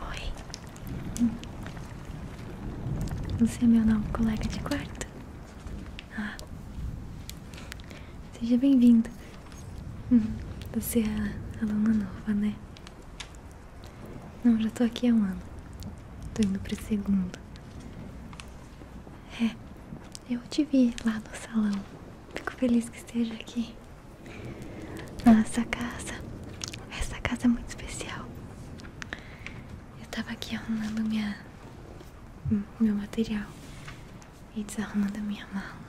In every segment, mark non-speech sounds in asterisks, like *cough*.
Oi. Hum. Você é meu novo colega de quarto? Seja bem-vindo. Hum, você é a aluna nova, né? Não, já tô aqui há um ano. Tô indo pro segundo. É, eu te vi lá no salão. Fico feliz que esteja aqui. Nossa casa. Essa casa é muito especial. Eu tava aqui arrumando minha meu material e desarrumando a minha mala.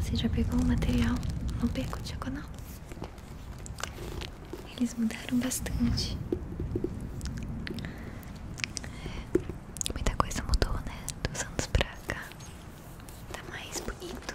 Você já pegou o material no beco diagonal? Eles mudaram bastante. É, muita coisa mudou, né? Dos anos pra cá. Tá mais bonito.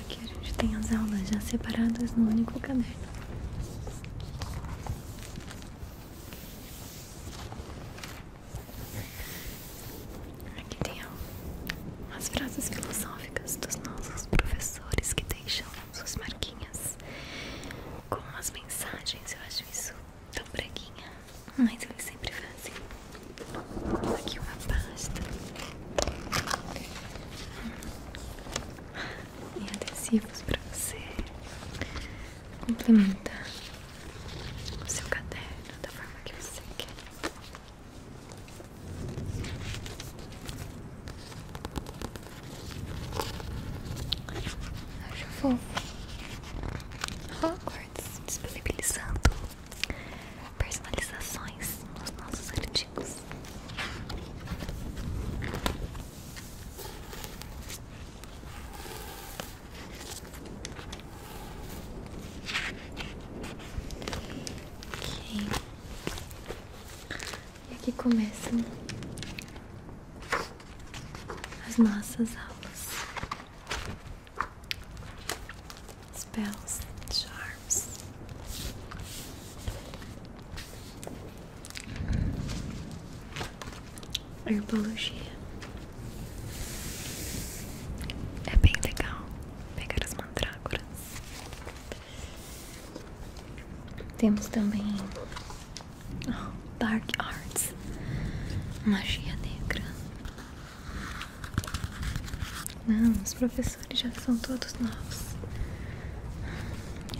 Aqui a gente tem as aulas já separadas no único caderno. Aqui tem as frases filosóficas dos nossos professores que deixam suas marquinhas com as mensagens. Eu acho isso tão breguinha, mas eles sempre fazem. Aqui uma pasta e adesivos para você complementar o seu caderno da forma que você quer. Acho fofo. Hogwarts disponibilizando personalizações nos nossos artigos. E aqui começam as nossas aulas spells charms. Herbologia é bem legal pegar as mandrágoras. Temos também oh, Dark Arts, magia negra, não, os professores já são todos novos.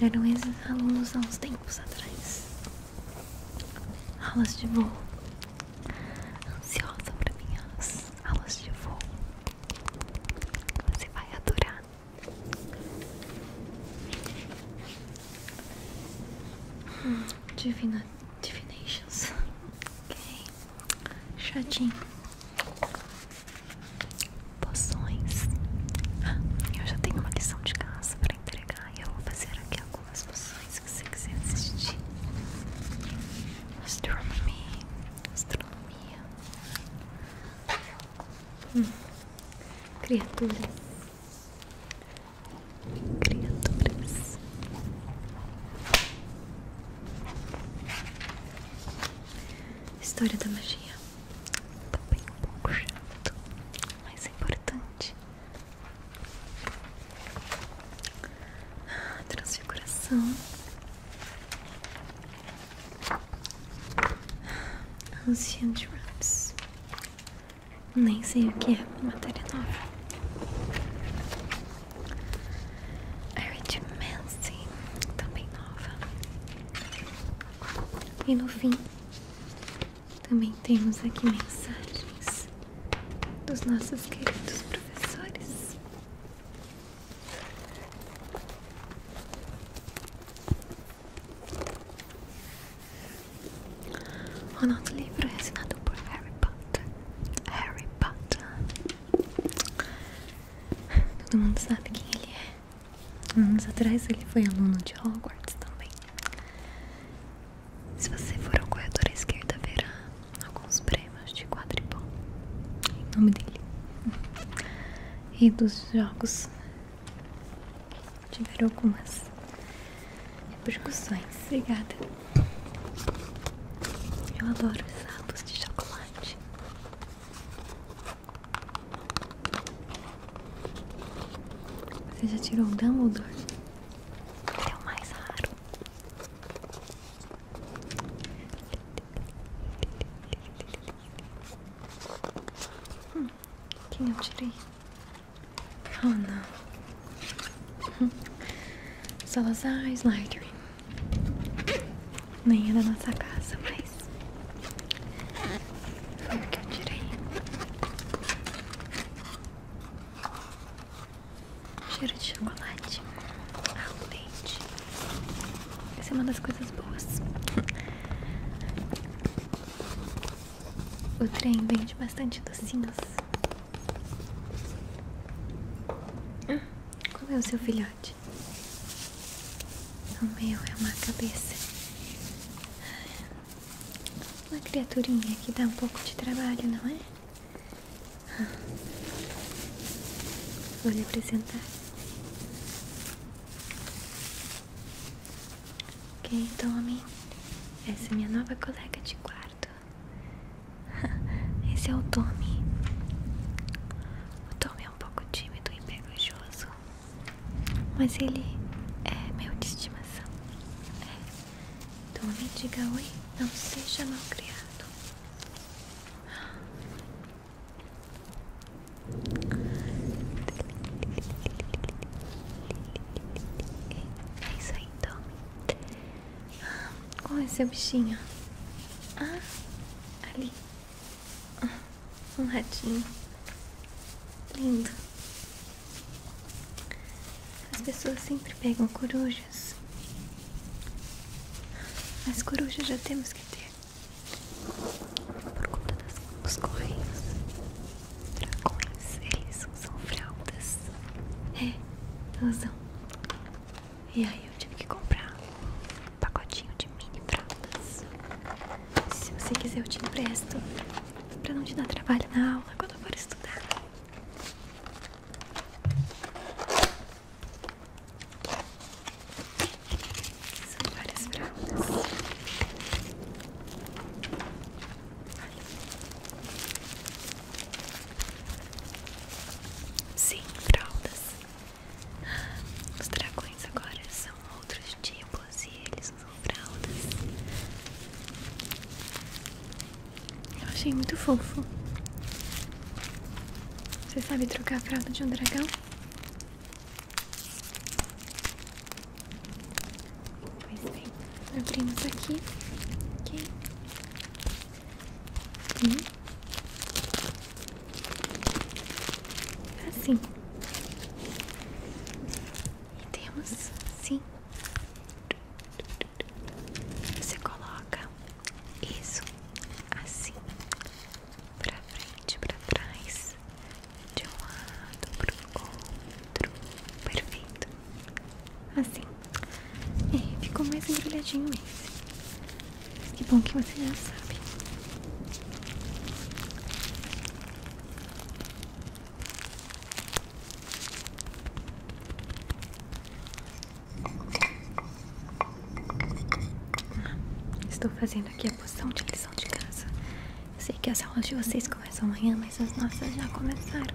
Eram esses alunos há uns tempos atrás. Aulas de voo. Ansiosa para minhas aulas de voo. Você vai adorar. Hum, Divina Divinations. Ok chatinho. Poções. Ah, eu já tenho uma lição de casa para entregar e eu vou fazer aqui algumas poções se você quiser assistir. Astronomia. Astronomia. Hum. Criaturas. Criaturas. História da magia. Também tá um pouco chato, mas é importante. Ah, transfiguração. Ah, Ancient Rams. Nem sei o que é matéria nova. A Red Manson, também nova. E no fim, também temos aqui mensagens dos nossos queridos professores. O nosso livro é assinado por Harry Potter. Harry Potter. Todo mundo sabe quem ele é. Anos atrás ele foi aluno de Hogwarts também. Se você for ao corredor à esquerda, verá alguns prêmios de quadribol em nome dele. E dos jogos tiveram algumas repercussões. Obrigada. Eu adoro sapos de chocolate. Você já tirou o Dumbledore? É o mais raro. Hum, quem eu tirei? Oh não. Salazar Slytherin. Nem é da nossa casa, mas... Foi o que eu tirei. Cheiro de chocolate. Ah, o leite. Essa é uma das coisas boas. *laughs* O trem vende bastante docinhos como ah, é o seu filhote? É o meu é uma cabeça. Ah, uma criaturinha que dá um pouco de trabalho, não é? Ah, vou lhe apresentar. Ok, Tommy. Essa é minha nova colega de quarto. *laughs* Esse é o Tommy. O Tommy é um pouco tímido e pegajoso, mas ele é meu de estimação. É. Tommy, diga oi, não seja mal criado. *gasps* É isso aí, Tommy. Qual esse é bichinho? Ah, ali. Ah, um ratinho. Lindo. As pessoas sempre pegam corujas. Mas coruja já temos que ter. Por conta das, dos correios. Dragões, eles usam fraldas. É, usam. E aí eu tive que comprar um pacotinho de mini fraldas. Se você quiser eu te empresto pra não te dar trabalho na aula quando eu for estudar. São várias fraldas. Olha. Sim, fraldas. Os dragões agora são outros tipos e eles são fraldas. Eu achei muito fofo. Você sabe trocar a fralda de um dragão? Pois bem. É. Abrimos aqui. Ok. Hum. Assim. E temos, sim. Você coloca isso assim, pra frente, pra trás, de um lado pro outro, perfeito. Assim. É, ficou mais embrulhadinho esse. que bom que você já sabe. Estou fazendo aqui a poção de lição de casa. sei que as aulas de vocês começam amanhã, mas as nossas já começaram.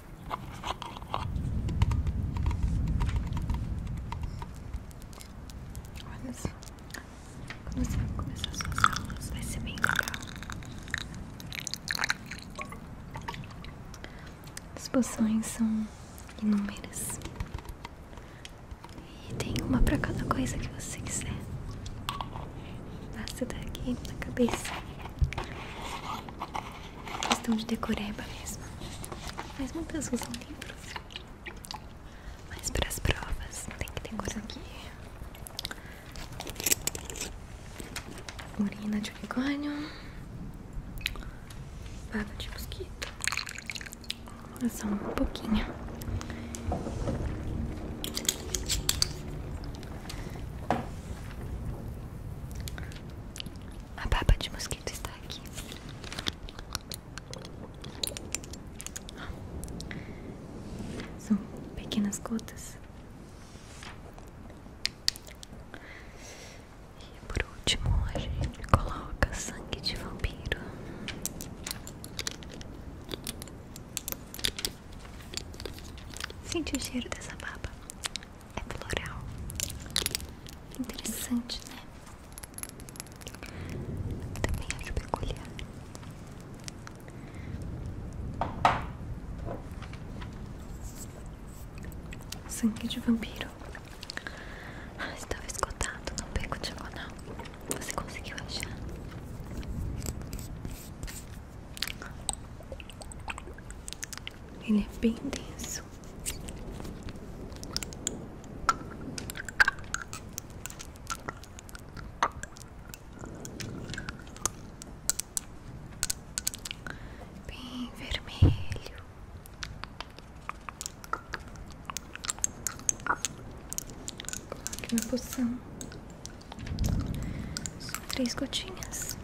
Olha só, quando você vai começar suas aulas, vai ser bem legal. As poções são inúmeras. E tem uma pra cada coisa que você quiser. Nasce daqui na cabeça. Questão de decoreba mesmo. Mas muitas usam livros. Mas para as provas tem que ter decorar aqui. murina de unicórnio. Baba de mosquito. É só um pouquinho. A baba de mosquito está aqui. São pequenas gotas. E por último, a gente coloca sangue de vampiro. Sente o cheiro dessa baba é plural. Interessante, né? Também acho peculiar. Sangue de vampiro. Ah, estava esgotado, não pego diagonal. Você conseguiu achar? Ele é bem denso. Bem vermelho. Coloque na poção. três gotinhas.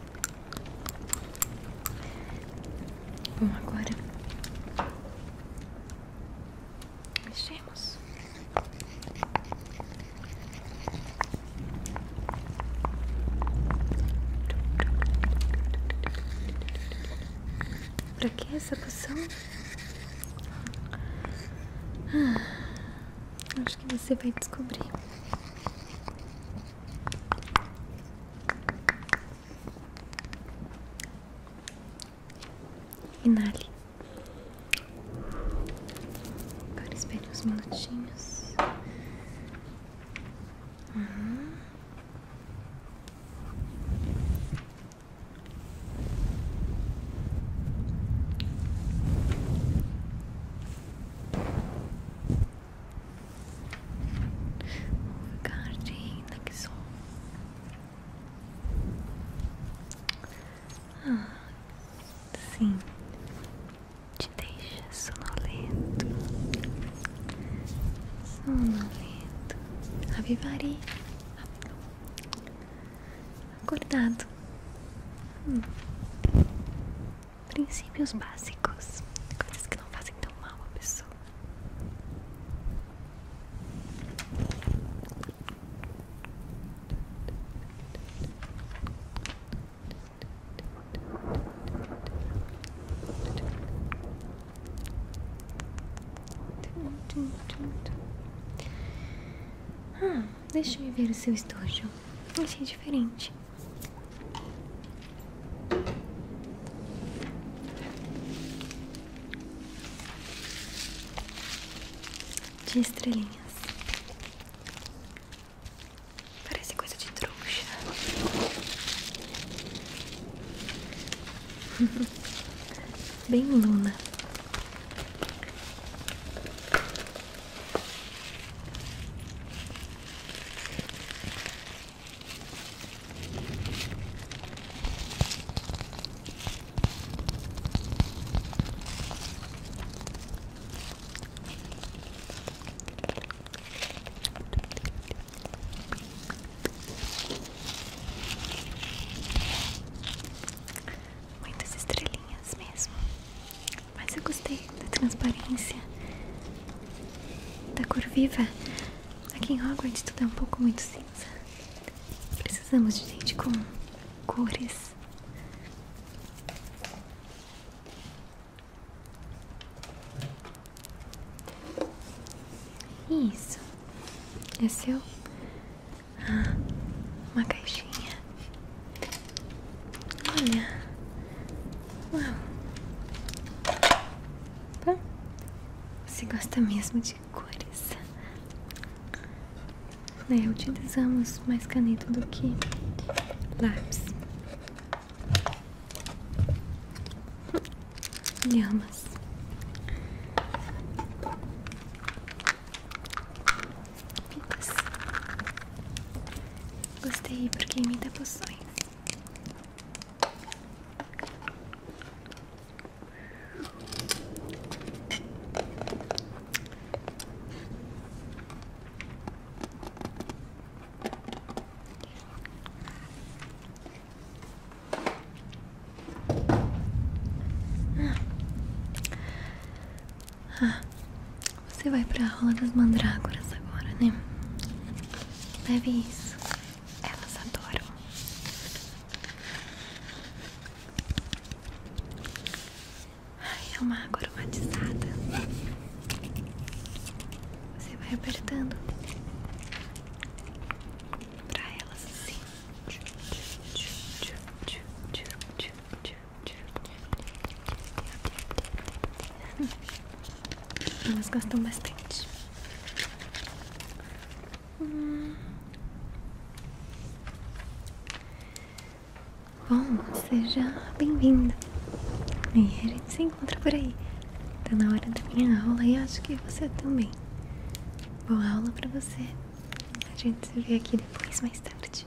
Bom, agora mexemos. Pra que essa poção? Ah, acho que você vai descobrir. Inale. Agora espere uns minutinhos. Um jardim que sou. Ah, sim, te deixa sonolento, sonolento, avivarei, acordado. Hum princípios básicos, coisas que não fazem tão mal a pessoa. Ah, deixa me ver o seu estojo. Achei diferente de estrelinhas. Parece coisa de trouxa. *laughs* Bem Luna. Muitas estrelinhas mesmo. Mas eu gostei da transparência, da cor viva. Aqui em Hogwarts tudo é um pouco muito cinza. Precisamos de gente com cores. Isso. É seu? Ah, uma caixinha. Olha. Uau. Opa. Tá. Você gosta mesmo de cores. Né, utilizamos mais caneta do que lápis. Lhamas. Gostei porque me dá poções. Ah, você vai pra rola das mandrágoras agora, né? Leve isso. Elas adoram. Ai, é uma água aromatizada. Você vai apertando pra elas assim. Tchum, tchum, tchum, tchum, tchum, elas gostam bastante. Hum. Bom, seja bem-vinda. E a gente se encontra por aí. Tá na hora da minha aula e acho que você também. Boa aula pra você. A gente se vê aqui depois, mais tarde.